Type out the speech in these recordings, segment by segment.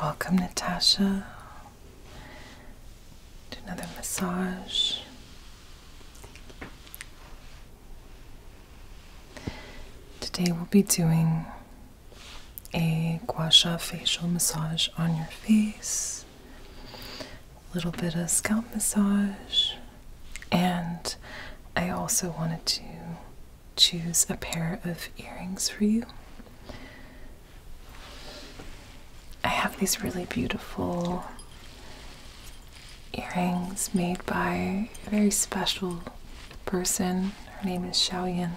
Welcome, Natasha, to another massage. Today we'll be doing a gua sha facial massage on your face, a little bit of scalp massage, and I also wanted to choose a pair of earrings for you. I have these really beautiful earrings made by a very special person. Her name is Xiaoyan,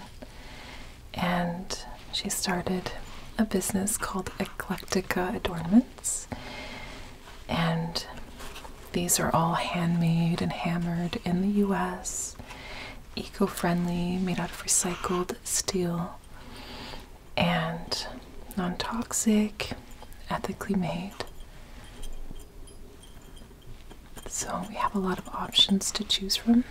and she started a business called Eclectica Adornments. And these are all handmade and hammered in the US, eco friendly, made out of recycled steel, and non toxic, ethically made. So we have a lot of options to choose from.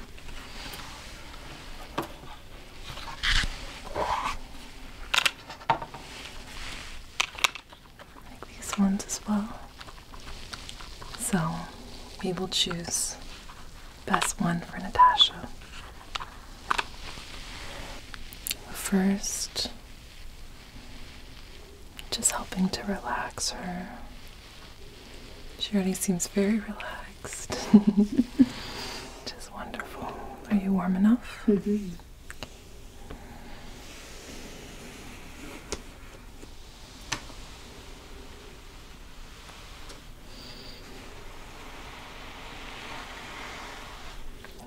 Like these ones as well. So we will choose best one for Natasha. First, just helping to relax her. She already seems very relaxed. Just wonderful. Are you warm enough?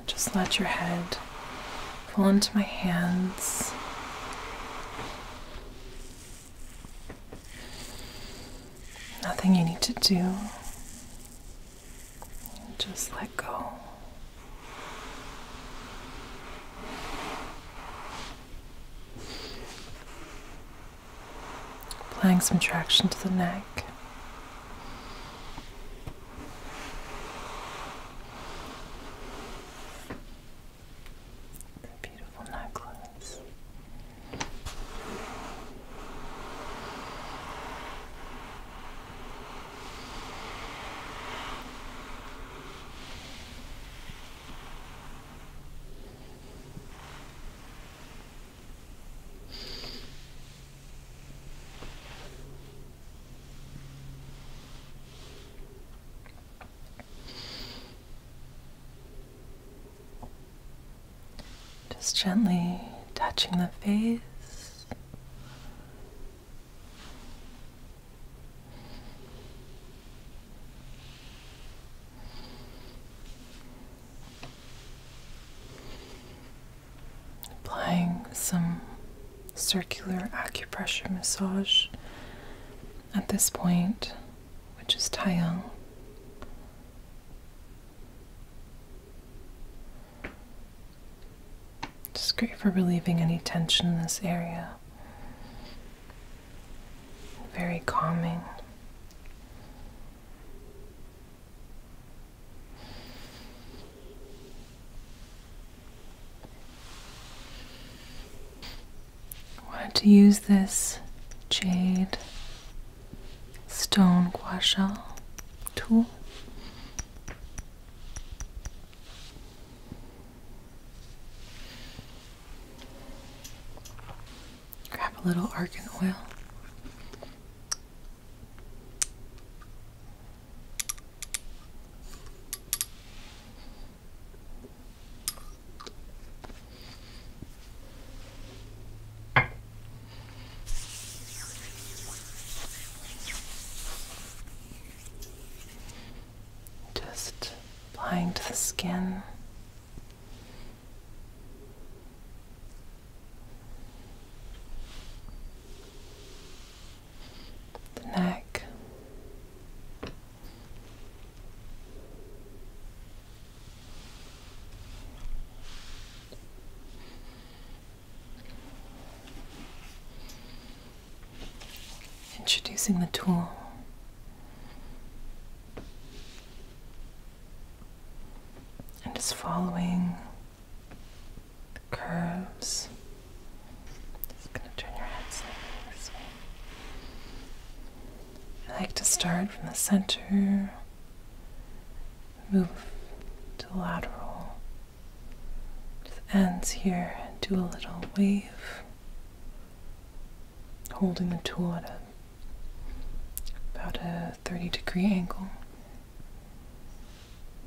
Just let your head fall into my hands. Nothing you need to do. Just let go. Applying some traction to the neck. The beautiful necklace. Just gently touching the face. Applying some circular acupressure massage at this point, which is Taiyang. it's great for relieving any tension in this area. Very calming. I wanted to use this jade stone gua shell tool. Grab a little argan oil. Just applying to the skin the neck. Introducing the tool. And just following the curves. Just gonna turn your head slightly this way. I like to start from the center, move to lateral, to the ends here, and do a little wave, holding the tool at about a 30 degree angle.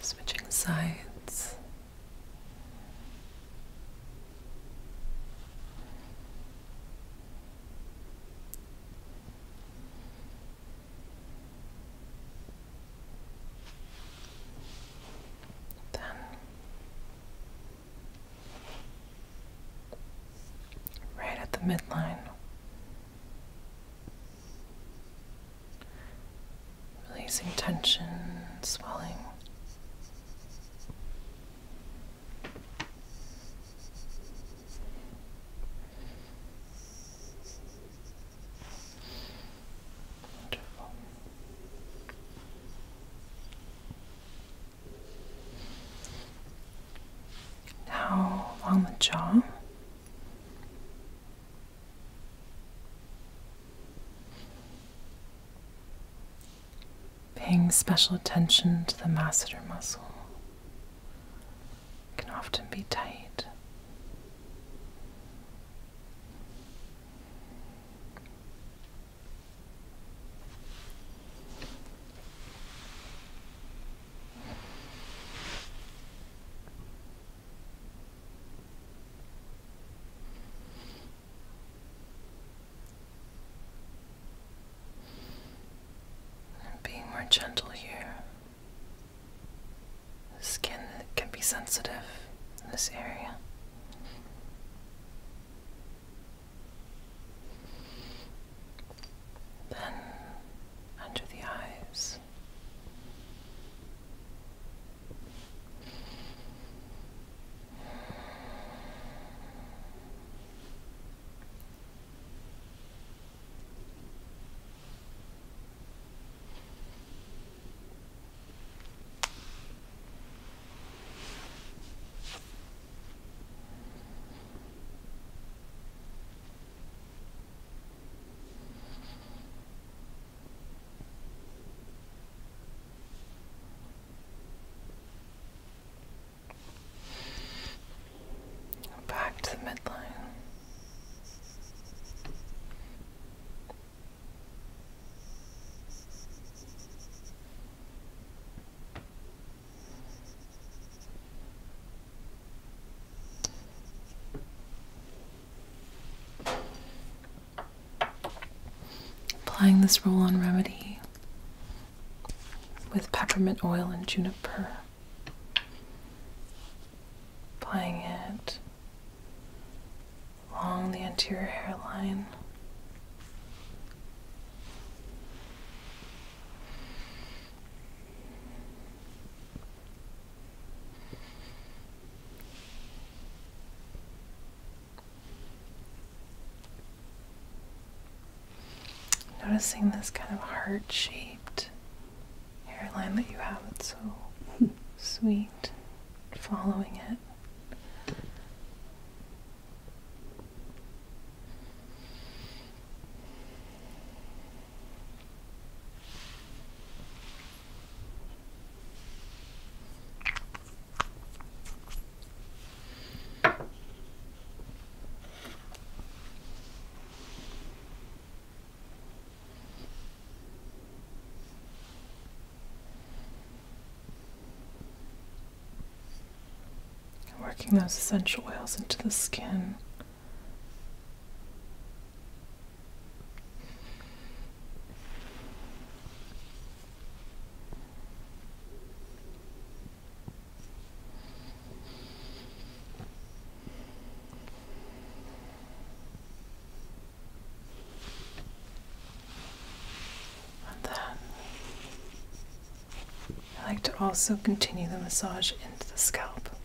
Switching sides. Then right at the midline. Releasing tension, swelling. Wonderful. Now along the jaw. Paying special attention to the masseter muscle can often be tight being more gentle here. skin can be sensitive in this area then under the eyes. Back to the midline. Applying this roll on remedy with peppermint oil and juniper. Applying it along the anterior hairline. Noticing this kind of heart shaped hairline that you have, it's so sweet, following it. Working those essential oils into the skin then I like to also continue the massage into the scalp.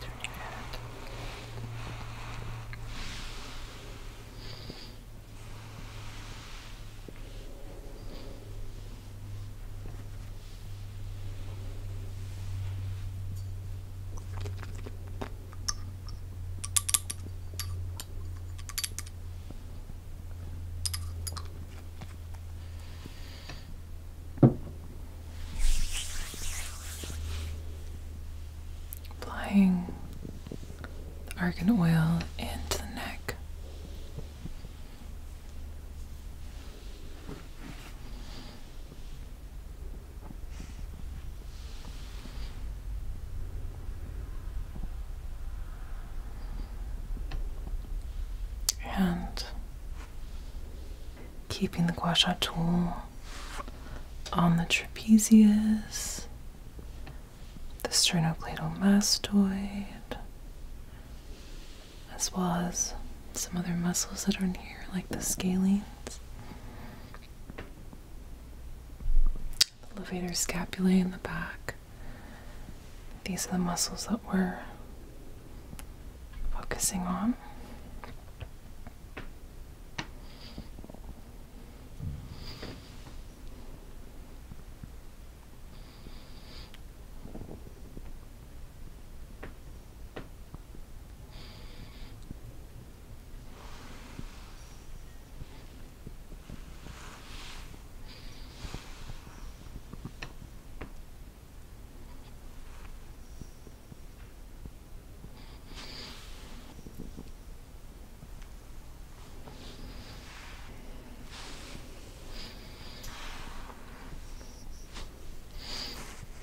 Turn your head. Good. Applying the argan oil into the neck. And keeping the gua sha tool on the trapezius, the sternocleidomastoid, as well as some other muscles that are in here, like the scalenes, the levator scapulae in the back. These are the muscles that were focusing on.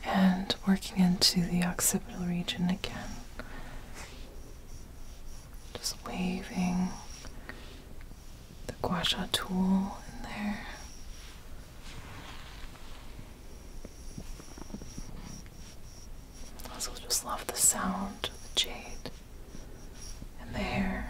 And working into the occipital region again, just waving the gua sha tool in there. I also just love the sound of the jade and the hair.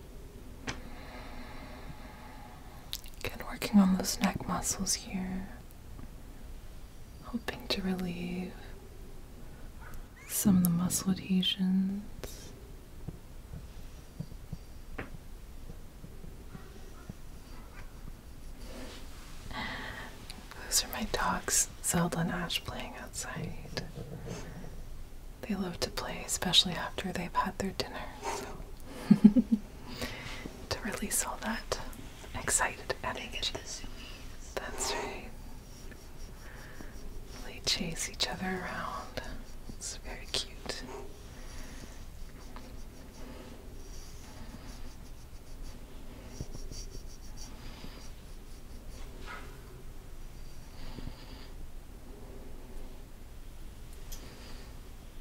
Again, working on those neck muscles here, hoping to relieve some of the muscle adhesions. Those are my dogs, Zelda and Ash, playing outside. They love to play, especially after they've had their dinner. to release all that excited energy. That's right. They chase each other around. It's very cute.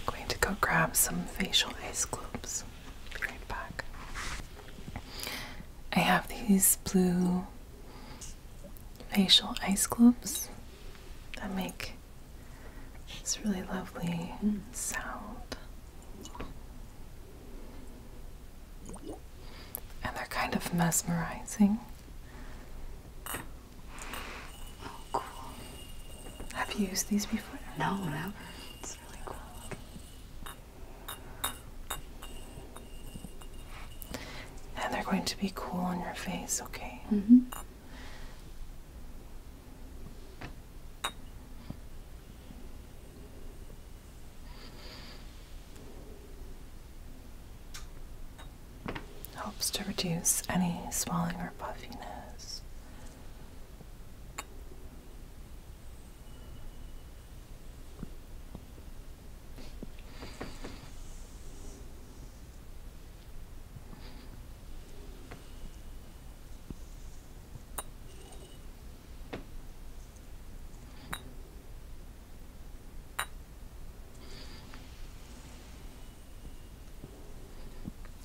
I'm going to go grab some facial ice cubes. Be right back. I have these blue facial ice cubes that make this really lovely sound. And they're kind of mesmerizing. Oh, cool. Have you used these before? No, never. It's really cool. And they're going to be cool on your face, okay? hmm Helps to reduce any swelling or puffiness.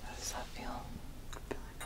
How does that feel? I feel like I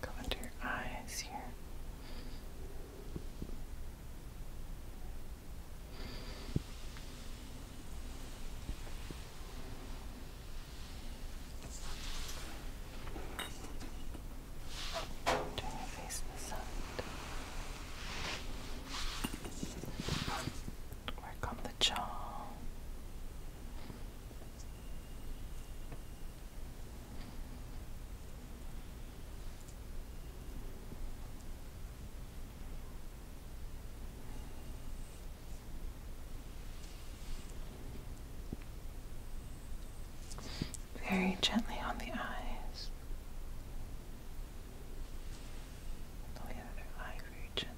Go under your eyes here. Turn your face to the side. Work on the jaw. Very gently on the eyes. the other eye, very gently.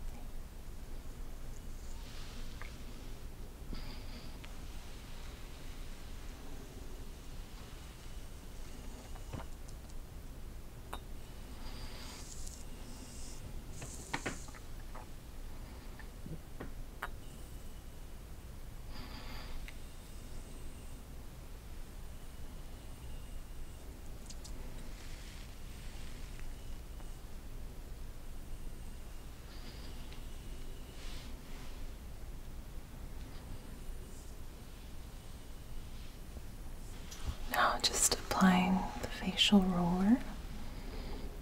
Now, just applying the facial roller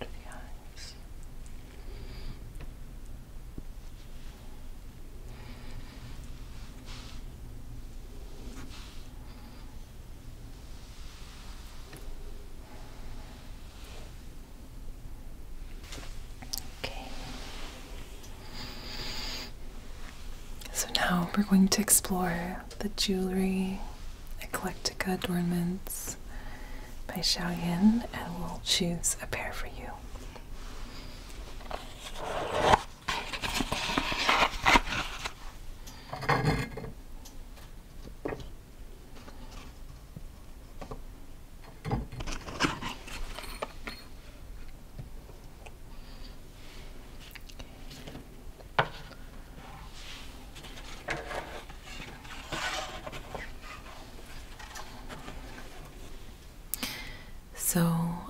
Under the eyes. Okay. So now we're going to explore the jewelry eclectica adornments by Yin, and we'll choose a pair for you. So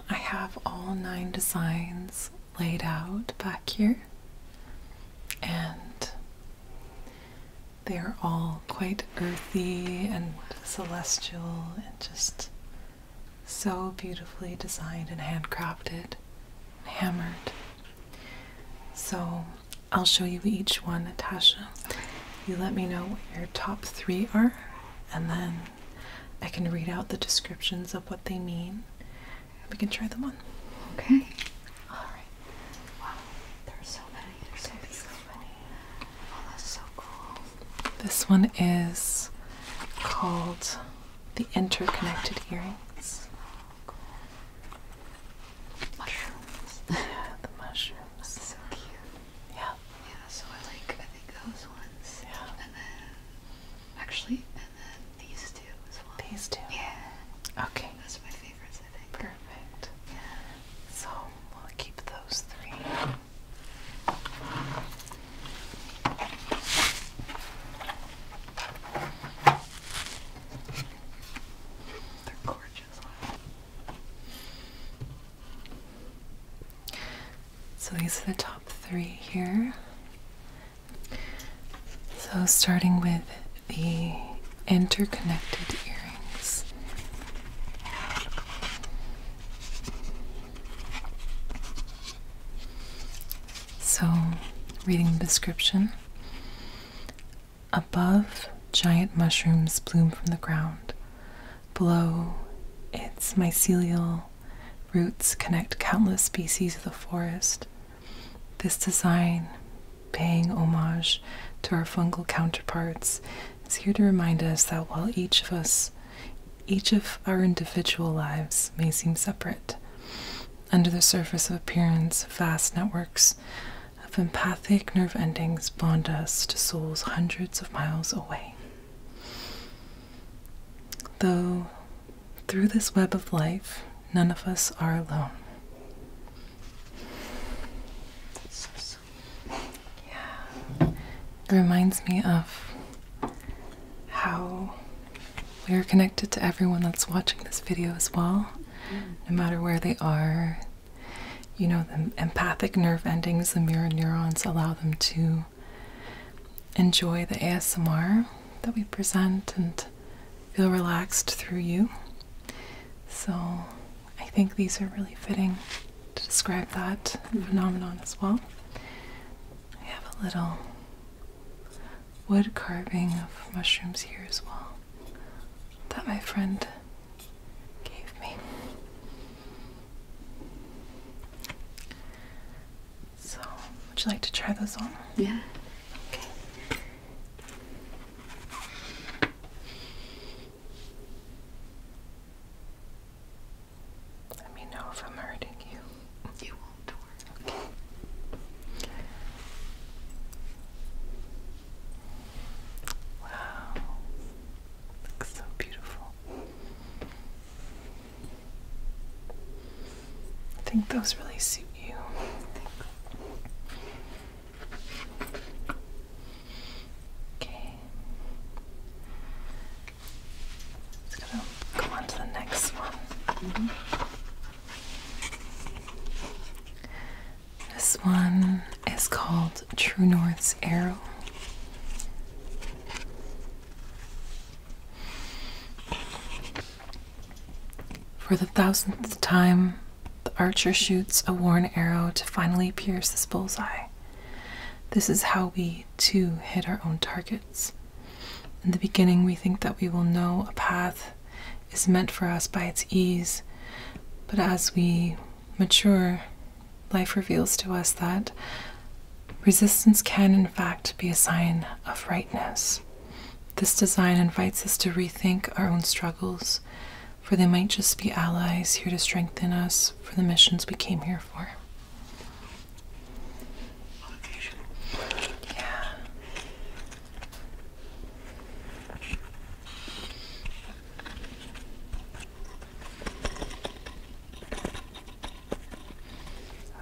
I have all nine designs laid out back here, and they are all quite earthy and celestial and just so beautifully designed and handcrafted and hammered. So I'll show you each one, Natasha. You let me know what your top three are, and then I can read out the descriptions of what they mean. we can try them on. Okay. All right. Wow. There are so many. There's so, There's so many. Oh, that's so cool. This one is called the interconnected earrings. Mushrooms. yeah, the mushrooms. so cute. Yeah. Yeah. So I like. I think those ones. Yeah actually, and then these two as well. These two? Yeah. Okay. Those are my favorites, I think. Perfect. So we'll keep those three. They're gorgeous. So these are the top three here. So starting with the interconnected earrings. So, reading the description above, giant mushrooms bloom from the ground. Below, its mycelial Roots connect countless species of the forest. This design, paying homage to our fungal counterparts, is here to remind us that while each of us, each of our individual lives may seem separate, under the surface of appearance, vast networks of empathic nerve endings bond us to souls hundreds of miles away. Though through this web of life, none of us are alone. Yeah. It reminds me of how we are connected to everyone that's watching this video as well, no matter where they are. You know, the empathic nerve endings, the mirror neurons allow them to enjoy the ASMR that we present and feel relaxed through you. So I think these are really fitting to describe that phenomenon as well. I have a little wood carving of mushrooms here as well that my friend gave me. So, would you like to try those on? Yeah. Okay. Let me know if I'm hurting you. You won't work. Wow. Looks so beautiful. I think those really suit you. Okay. Just going go on to the next one. This one is called True North's Arrow. For the thousandth time, the archer shoots a worn arrow to finally pierce this bullseye. This is how we, too, hit our own targets. In the beginning, we think that we will know a path is meant for us by its ease, but as we mature, life reveals to us that Resistance can, in fact, be a sign of rightness. This design invites us to rethink our own struggles, for they might just be allies here to strengthen us for the missions we came here for.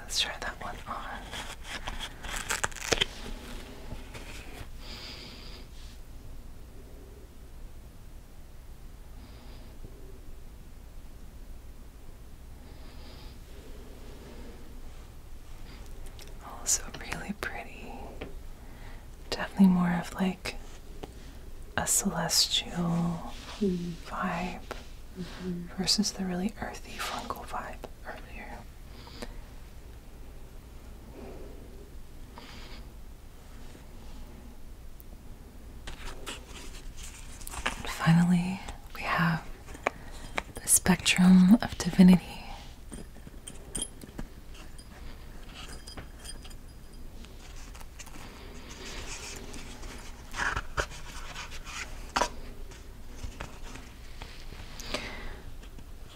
Let's try that one on. Also, really pretty. Definitely more of like a celestial hmm. vibe. Mm-hmm. versus the really earthy fungal vibe earlier. finally, we have the spectrum of divinity.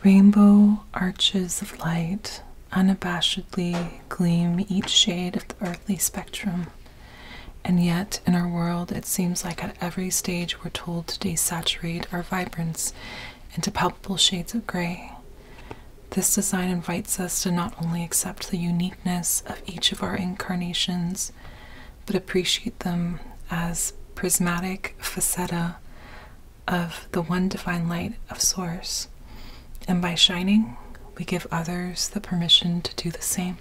Rainbow arches of light unabashedly gleam each shade of the earthly spectrum. And yet, in our world, it seems like at every stage we're told to desaturate our vibrance into palpable shades of gray. This design invites us to not only accept the uniqueness of each of our incarnations, but appreciate them as prismatic faceta of the one divine light of Source. And by shining, we give others the permission to do the same.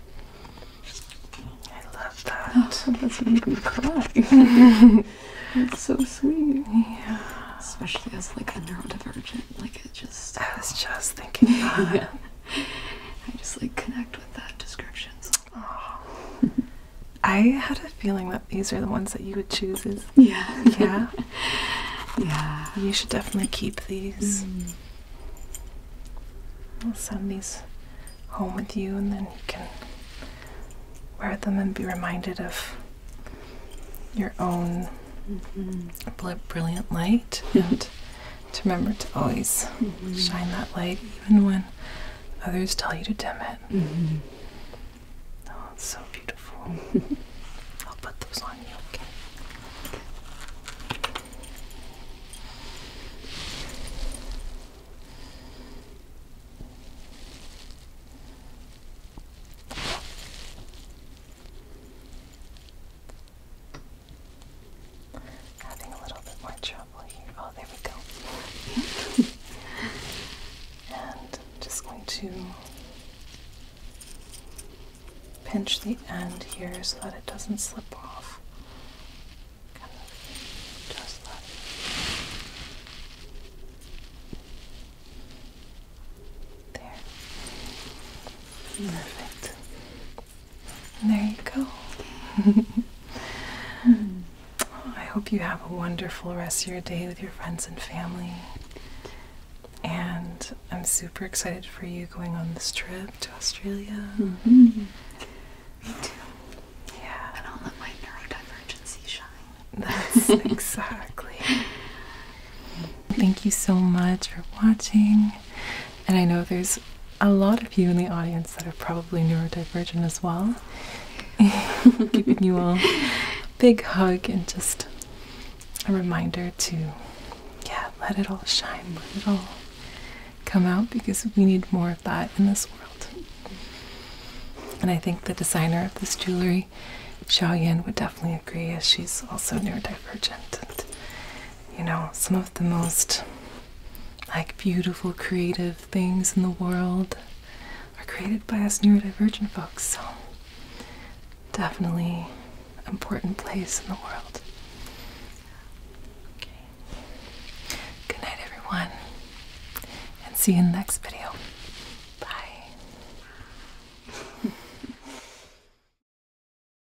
I love that. Oh, that's made me cry. it's so sweet. Yeah. Especially as like a neurodivergent, like it just. I was just thinking yeah. I just like connect with that description. So. I had a feeling that these are the ones that you would choose. Is yeah, yeah, yeah. You should definitely keep these. Mm. I'll send these home with you, and then you can wear them and be reminded of your own mm-hmm. brilliant light to remember to always shine that light, even when others tell you to dim it. Mm-hmm. Oh, it's so beautiful. I'll put those on you, okay? Having a little bit more trouble here. Oh, there we go. and I'm just going to pinch the end here so that it doesn't slip off. Kind of just that. There. Perfect. And there you go. I hope you have a wonderful rest of your day with your friends and family. And I'm super excited for you going on this trip to Australia. Mm-hmm. Me too. Yeah. And I'll let my neurodivergency shine. That's exactly. Thank you so much for watching. And I know there's a lot of you in the audience that are probably neurodivergent as well. Giving you all a big hug and just a reminder to, yeah, let it all shine, let it all come out because we need more of that in this world. And I think the designer of this jewelry, Xiao Yan, would definitely agree as she's also neurodivergent you know, some of the most like beautiful creative things in the world are created by us neurodivergent folks, so definitely important place in the world. Good night everyone. And see you in the next video. Bye.